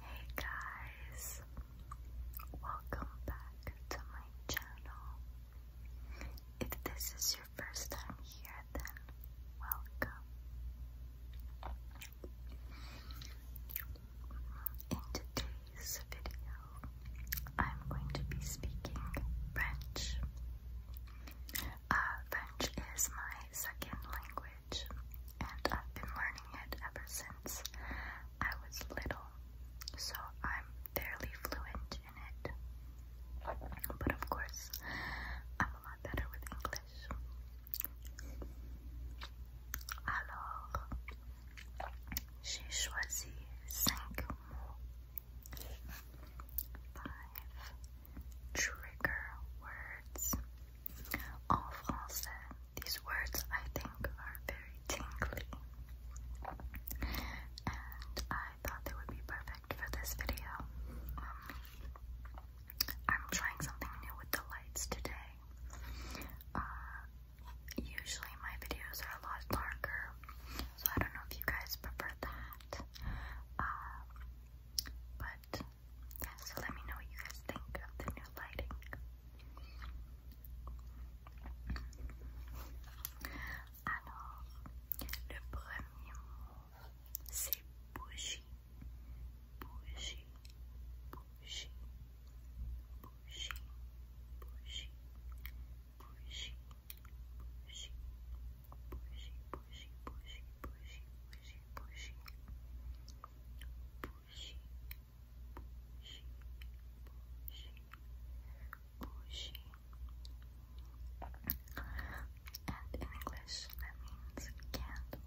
Hey guys, welcome back to my channel. If this is your first time here, then welcome. In today's video, I'm going to be speaking French. Uh, French is my second language and I've been learning it ever since I was little, so I'm fairly fluent in it. But of course, I'm a lot better with English. Alors, j'ai choisi cinq mots. Five trigger words En français, these words I think are very tingly, and I thought they would be perfect for this video. Um, I'm trying something new with the lights today. Uh, usually my videos are a lot darker, so I don't know if you guys prefer that. Uh, but so let me know what you guys think of the new lighting. Alors, le premier mot, c'est bougie. Bougie, bougie, bougie, bougie, bougie, bougie, bougie, bougie, bougie, bougie, bougie, bougie, bougie, pushing, pushing, pushing, pushing. And in English, that means candle.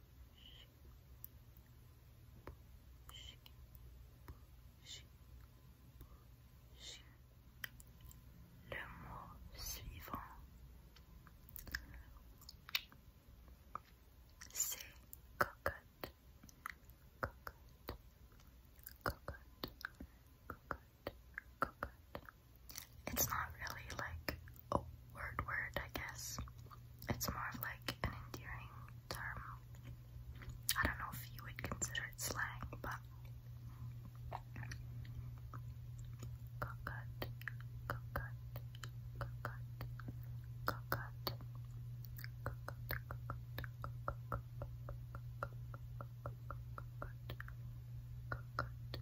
Le mot suivant, c'est cocotte, cocotte, cocotte, cocotte, cocotte, it's not really like a word word, I guess. It's more of like an endearing term. I don't know if you would consider it slang, but cockut, cockut, cockut, cockut, cockut, cockut, cockut,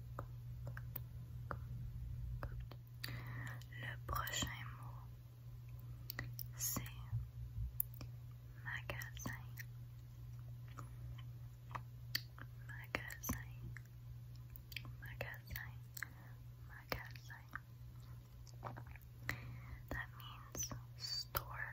Le prochain mot, c'est magasin. Magasin. Magasin. Magasin. That means store.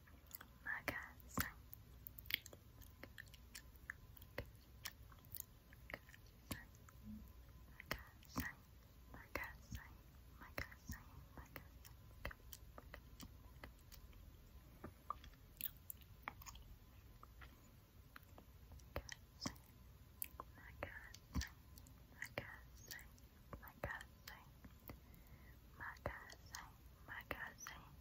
Magazine. Magazine. Magazine. Magazine. Magazine, magazine, magazine,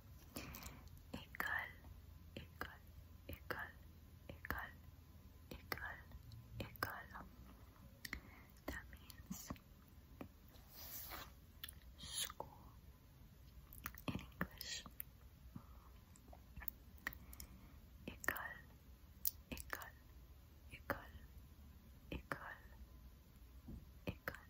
école, école, école, école, école, école. That means school in English. École, école, école, école, école.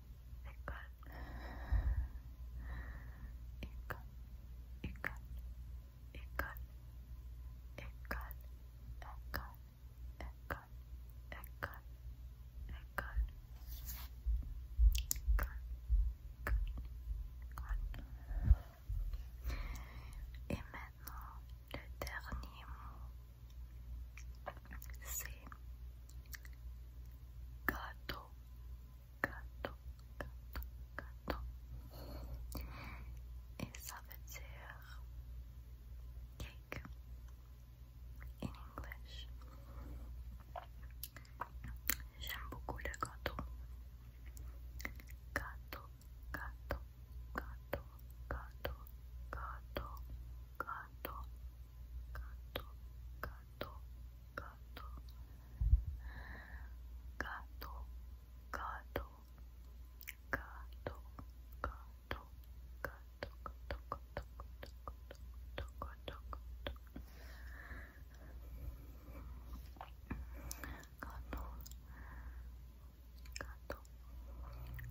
école, école. Et maintenant, le dernier mot se gato gato gato gato et ça veut dire cake in English j'aime beaucoup le gâteau gâteau gâteau gâteau gâteau gâteau gâteau gâteau gato, gato, gato, gato, gato, gato, gato, gato, gato, gato, gato, gato,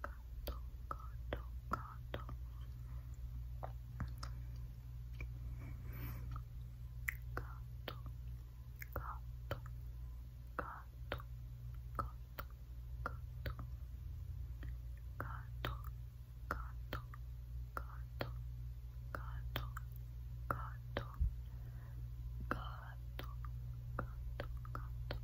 gato, gato, gato. Gato, gato, gato, gato, gato. Gato, gato, gato, gato, gato. Gato, gato, gato,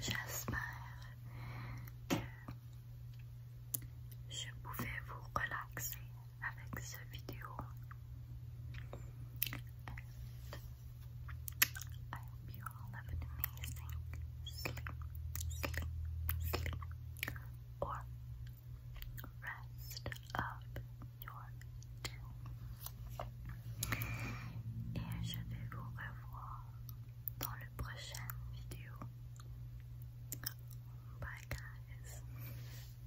J'espère que je pouvais vous relaxer avec cette vidéo. And I hope you all have an amazing sleep, or rest up your day. Et je vais vous revoir dans le prochaine vidéo. Bye guys.